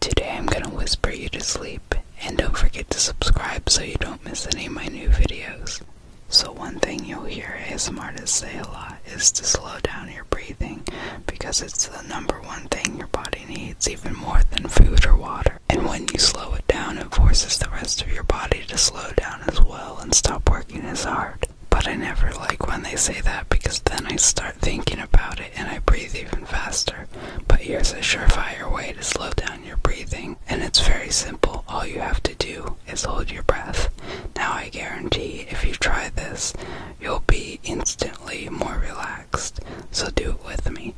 Today I'm gonna whisper you to sleep, and don't forget to subscribe so you don't miss any of my new videos. So one thing you'll hear ASMR artists say a lot is to slow down your breathing, because it's the number one thing your body needs even more than food or water. And when you slow it down, it forces the rest of your body to slow down as well and stop working as hard. But I never like when they say that because then I start thinking about it and I breathe even faster. But here's a surefire way to slow down your breathing, and it's very simple. All you have to do is hold your breath. Now, I guarantee if you try this, you'll be instantly more relaxed. So, do it with me.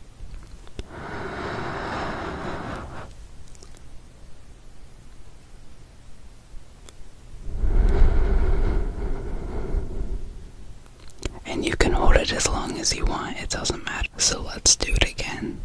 And you can hold it as long as you want, it doesn't matter. So let's do it again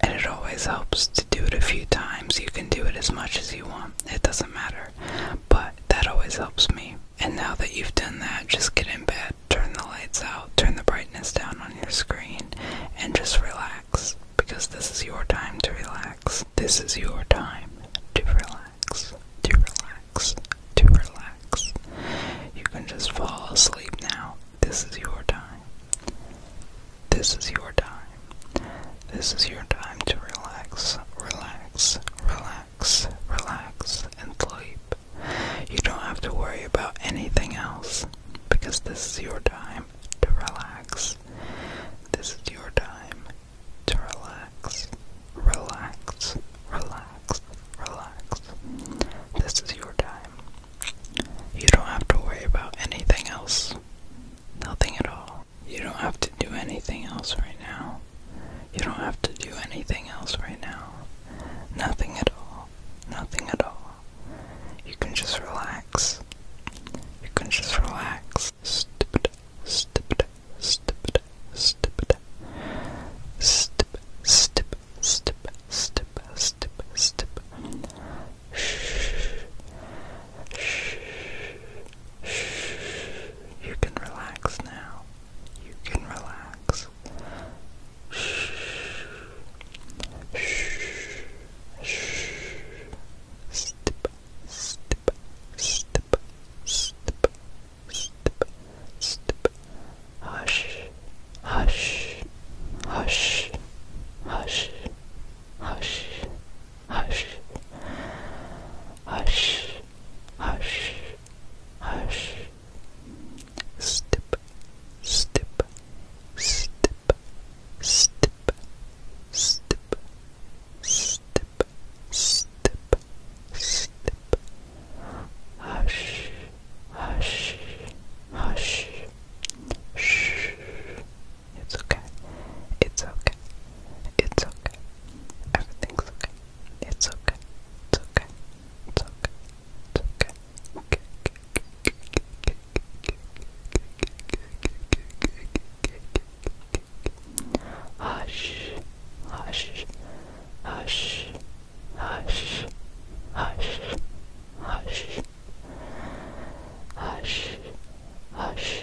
and it always helps to do it a few times. You can do it as much as you want, it doesn't matter, but that always helps me. And now that you've done that, just get in bed, turn the lights out, turn the brightness down on your screen, and just relax because this is your time to relax. This is your time to relax, to relax, to relax. You can just fall asleep now. This is your time. This is your time. This is your time to relax, relax, relax, relax, and sleep. You don't have to worry about anything else because this is your time to relax. This is your time to relax, relax, relax, relax. This is your time. You don't have to worry about anything else else. Nothing at all. You don't have to do anything else right now. You don't have to do anything else right now. Nothing at all. Nothing at all. You can just relax. You can just relax. Stupid, stupid, stupid, stupid. Stip, stip, stip, stip, stip, stip, stip. You can relax now. You can relax. Step, step, step, step, step, step. Hush, hush, hush, hush, hush, hush, hush, hush, hush. Step, step, step, step, step, step, step, step. Hush, hush, hush. hush. It's okay. It's okay. It's okay. Everything's okay. It's okay. It's okay. It's okay. It's okay. Hush, hush, hush, hush, hush, hush, hush, hush,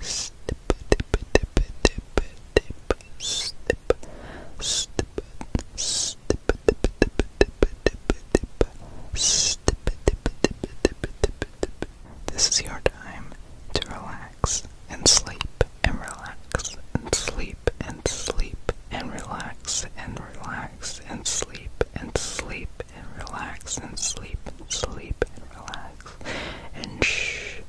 snip, dip, dip, dip, dip, snip, snip, snip, dip, dip, dip, dip, dip, snip, dip, dip, dip, dip, This is your time to relax and sleep and relax and sleep and sleep and relax and relax and sleep and sleep and relax and sleep and sleep and relax and shh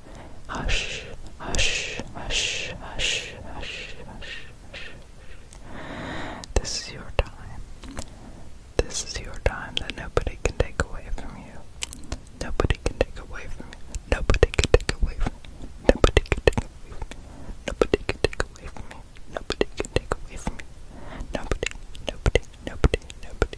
hush, hush, hush, hush, hush, hush, hush. This is your time. This is your time that nobody can take away from you. Nobody can take away from you. Nobody can take away from you. Nobody can take away from you. Nobody can take away from you. Nobody can take away from you. Nobody, nobody, nobody, nobody,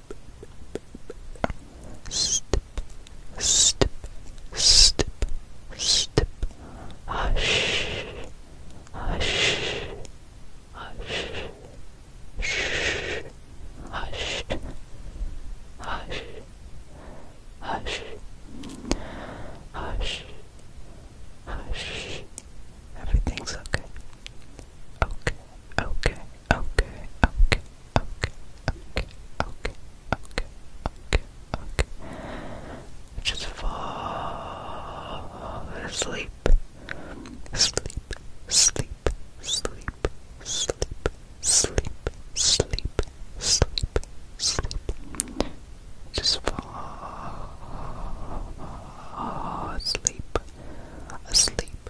Step, step, step, step. Hush, hush, hush, shh, hush, hush, hush, hush, hush. Everything's okay. Okay, okay okay, okay, okay, okay, okay, okay, okay, okay. Just fall asleep. Sleep, sleep, sleep, sleep, sleep, sleep, sleep, sleep. Just fall asleep, asleep,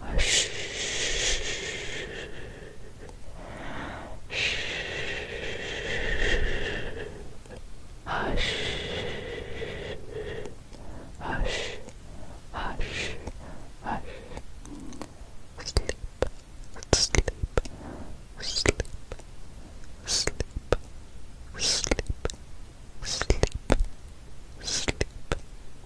hush, hush, hush, hush. Sleep, sleep, sleep, sleep, sleep, sleep, sleep, sleep,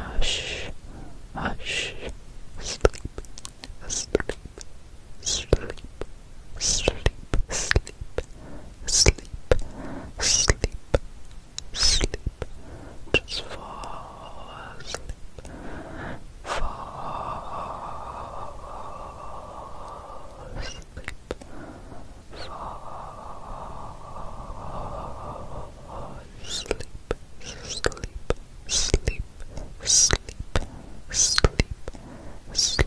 Hush, hush, hush, sleep, sleep, sleep, sleep, sleep, sleep, sleep, sleep. Just fall asleep. Fall asleep. Fall asleep. Sleep, sleep, sleep, sleep, sleep, sleep,